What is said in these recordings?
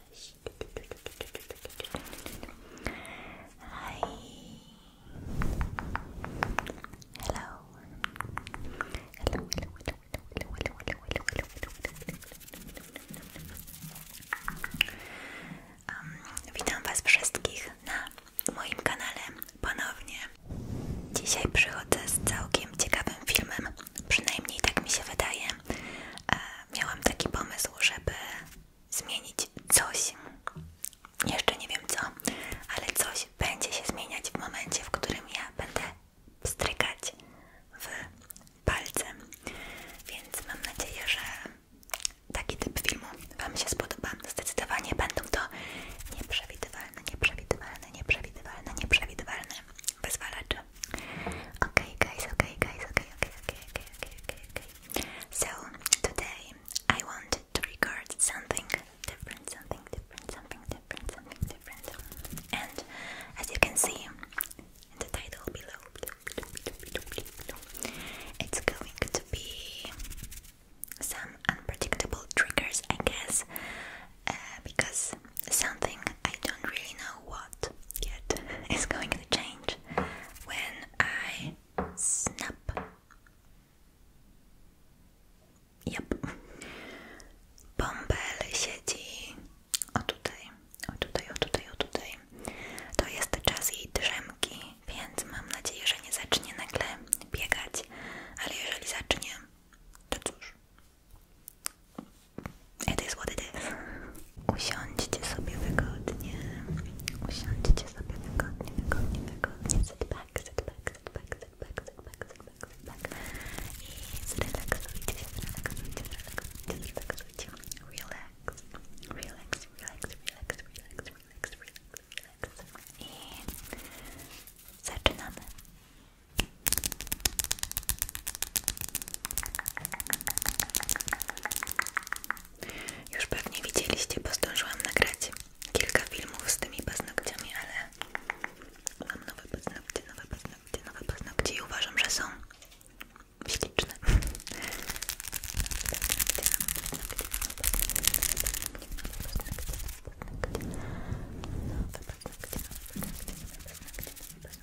Hi. Hello. Hello, hello, hello, hello, hello, hello, hello, hello, um, Witam Was wszystkich na moim kanale ponownie. Dzisiaj przychodzę z całkiem ciekawym filmem, przynajmniej tak mi się wydaje. E, miałam taki pomysł, żeby zmienić coś. Jeszcze nie wiem co, ale coś będzie się zmieniać w momencie, w którym ja będę strykać w palcem. Więc mam nadzieję, że taki typ filmu Wam się spodoba. Zdecydowanie będą to nieprzewidywalne, nieprzewidywalne, nieprzewidywalne, nieprzewidywalne wyzwalacze. Okej, okay, guys, okej, okay, guys, okej, okay, okej, okay, okej, okay, okay, okay, okay, So today I want to record something different, something different, something different, something different. And as you can see in the title below, it's going to be some unpredictable triggers, I guess, uh, because something I don't really know what jest, yet is going to change when I snap. Yep. Bąbel siedzi o tutaj, o tutaj, o tutaj, o tutaj. To jest czas jej drzemki, więc mam nadzieję, że nie zacznie nagle biegać, ale jeżeli zacznie, to cóż. It is what it is. Usiądźcie sobie wygodnie. Usiądźcie sobie wygodnie, wygodnie, wygodnie. Sit back, sit back, sit back, sit back, sit back, sit back, sit back. I zrelaksujcie się, zrelaksujcie, zrelaksujcie, zrelaksujcie. Relax, relax, relax, relax, relax, relax, relax, relax. I zaczynamy. Już pewnie widzieliście, bo zdążyłam nagrać kilka filmów z tymi paznokciami, ale mam nowe paznokcie, nowe paznokcie, nowe paznokcie i uważam, że są śliczne. Nowe paznokcie, nowe paznokcie, nowe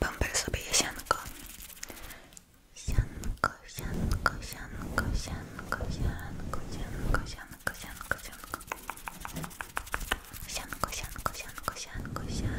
Bąbel sobie jesianko. Sianko, sianko, sianko, sianko, sianko, sianko, sianko, sianko, sianko. Sianko, sianko, sianko, sianko, sianko. Sianko.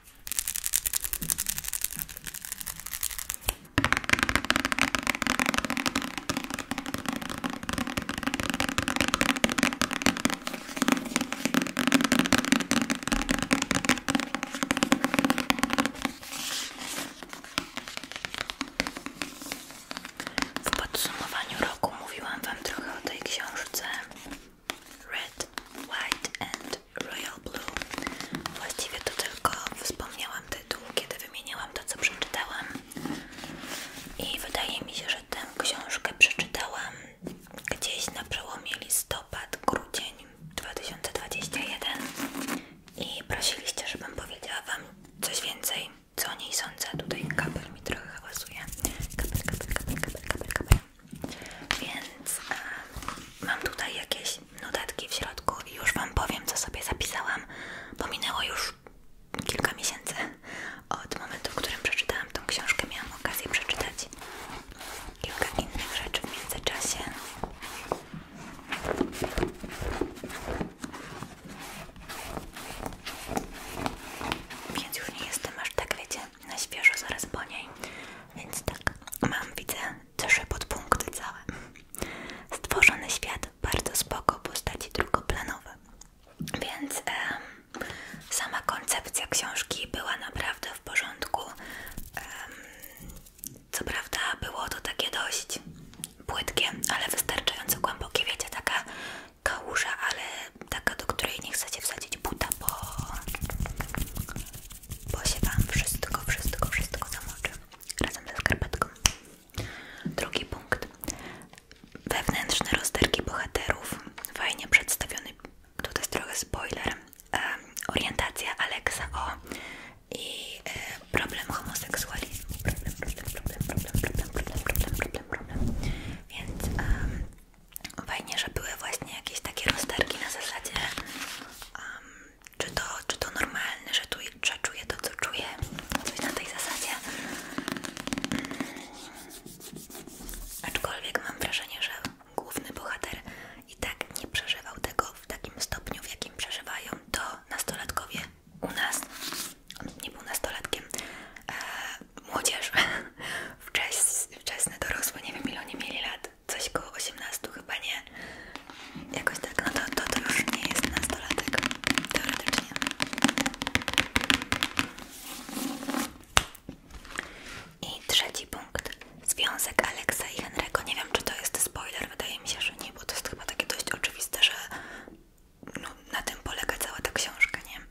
W podsumowaniu roku mówiłam Wam trochę o tej książce. Red, White and Royal Blue. Właściwie to tylko wspomniałam tytuł, kiedy wymieniłam to, co przeczytałam. I wydaje mi się, że tę książkę przeczytałam gdzieś na przełomie listopad-grudzień 2021 i prosiliście, żebym powiedziała Wam coś więcej, co o niej sądzę. Tutaj kabel mi trochę hałasuje. kabel, kabel, kabel, kabel, kabel. Więc mam tutaj jakieś notatki w środku i już Wam powiem, co sobie zapisałam, bo minęło już kilka miesięcy od momentu, w którym przeczytałam tą książkę. Miałam okazję przeczytać kilka innych rzeczy w międzyczasie. Więc już nie jestem aż tak, wiecie, na świeżo zaraz po niej. Więc tak, mam, widzę, trzy podpunkty całe. Stworzony świat, bardzo spoko, postaci drugoplanowe. Więc e, sama koncepcja książki była naprawdę w porządku. co prawda było to takie dość płytkie, ale wystarczająco głębokie, wiecie, taka kałuża, ale taka, do której nie chcecie wsadzić buta, bo, bo się Wam wszystko, wszystko, wszystko zamoczy razem ze skarpetką. Drugi punkt. Wewnętrzne rozterki bohaterów. Fajnie przedstawiony, tutaj jest trochę spoiler, orientacja Aleksa o i e, problem homoseksualizmu. Problem, problem, problem, problem, problem, problem, problem, problem, Więc Fajnie, że były właśnie jakieś takie rozterki na zasadzie um, czy, to, czy to normalne, że, tu, że czuję to, co czuję, coś na tej zasadzie. Aczkolwiek mam wrażenie, że główny bohater i tak nie przeżywał tego w takim stopniu, w jakim przeżywają to nastolatkowie u nas. On nie był nastolatkiem, e, młodzież Wczes, wczesne dorosłe, nie wiem ile oni mieli lat, coś koło 18 chyba nie. Jakoś tak, no to, to, to już nie jest nastolatek, teoretycznie. I trzeci punkt. Związek Aleksa i Henry'ego. Nie wiem, czy to jest spoiler, wydaje mi się, że nie, bo to jest chyba takie dość oczywiste, że no, na tym polega cała ta książka, nie?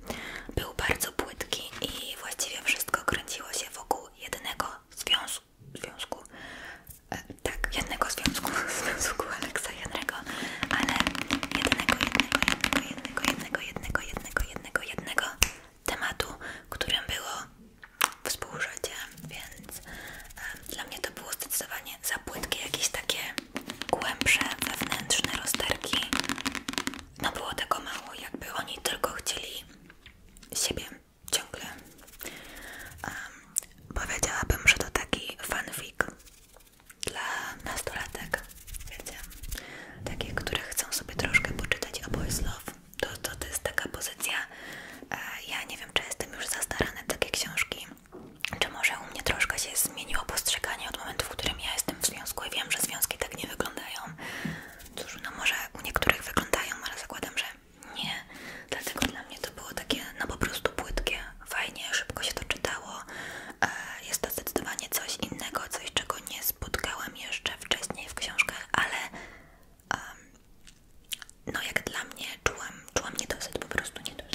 Był bardzo płytki i właściwie wszystko kręciło się wokół jednego związku. związku. E, tak, jednego związku, związku Aleksa Henry'ego, ale jednego, jednego, jednego, jednego, jednego, jednego, jednego, tematu, którym było współżycie, więc e, dla mnie to było zdecydowanie za płytkie, jakieś takie głębsze, wewnętrzne rozterki no było tego mało, jakby oni tylko chcieli siebie ciągle. powiedziałabym, że to taki fanfic dla nastolatek, wiecie, takich, które chcą sobie troszkę poczytać o Boys Love. To, to, jest taka pozycja, e, ja nie wiem, czy jestem już za stara na takie książki, czy może u mnie troszkę się zmieniło postrzeganie od momentu, w którym ja jestem w związku i wiem, że związki tak nie wyglądają, Cóż, no może u niektórych wyglądają, ale zakładam, że nie. Dlatego dla mnie to było takie, no po prostu płytkie, fajnie, szybko się to czytało. E, jest to zdecydowanie coś innego, coś czego nie spotkałam jeszcze wcześniej w książkach, ale no jak dla mnie czułam, czułam niedosyt, po prostu niedosyt.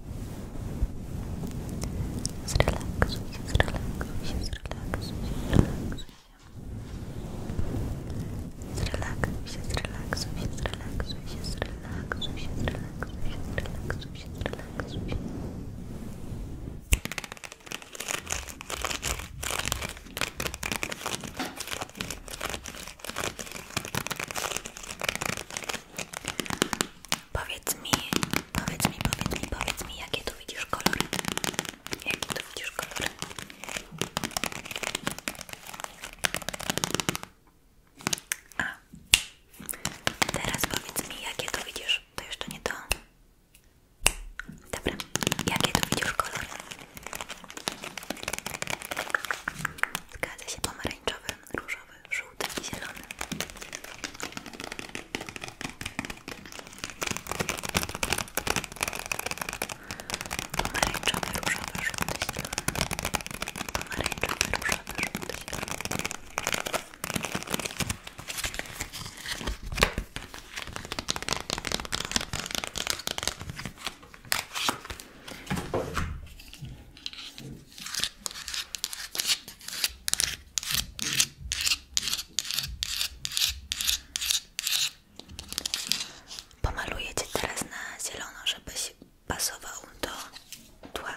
Zrelaksuj się, zrelaksuj się, zrelaksuj się, zrelaksuj się. Zrelaksuj się, zrelaksuj się, zrelaksuj się, zrelaksuj się, zrelaksuj się, zrelaksuj się. Powiedz mi, powiedz mi, powiedz mi, powiedz mi, jakie tu widzisz kolory? Jakie tu widzisz kolory? A, teraz powiedz mi, jakie tu widzisz? To jeszcze nie to. Dobra, jakie tu widzisz kolory? Zgadza się pomarańczowy różowy, żółty i zielony. Pomarańczowy, różowy, żółty, zielony. Pomarańczowy, różowy, żółty, zielony. Pomaluję Cię teraz na zielono, żebyś pasował do tła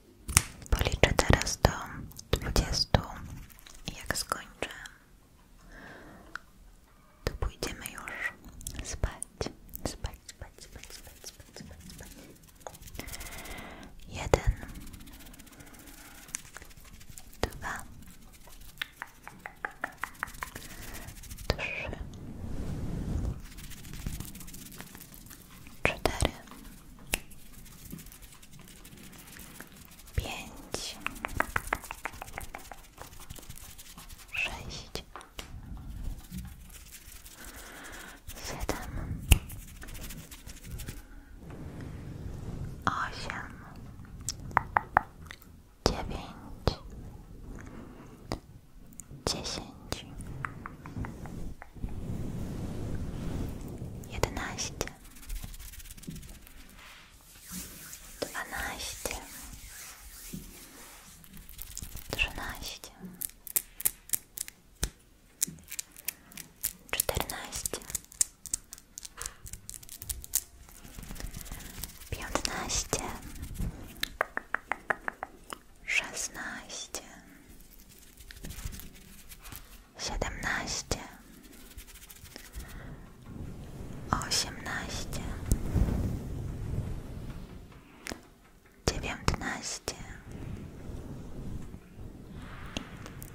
Policzę teraz do 20 i jak skończę, to pójdziemy już spać. Spać, spać, spać, spać, spać, spać, spać. Jeden, dwa, trzy, cztery, pięć, sześć, siedem, osiem, dziewięć dziesięć, jedenaście, dwanaście, trzynaście, czternaście, piętnaście. Szesnaście, siedemnaście, osiemnaście, dziewiętnaście,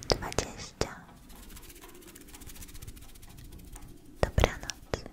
dwadzieścia. Dobranoc.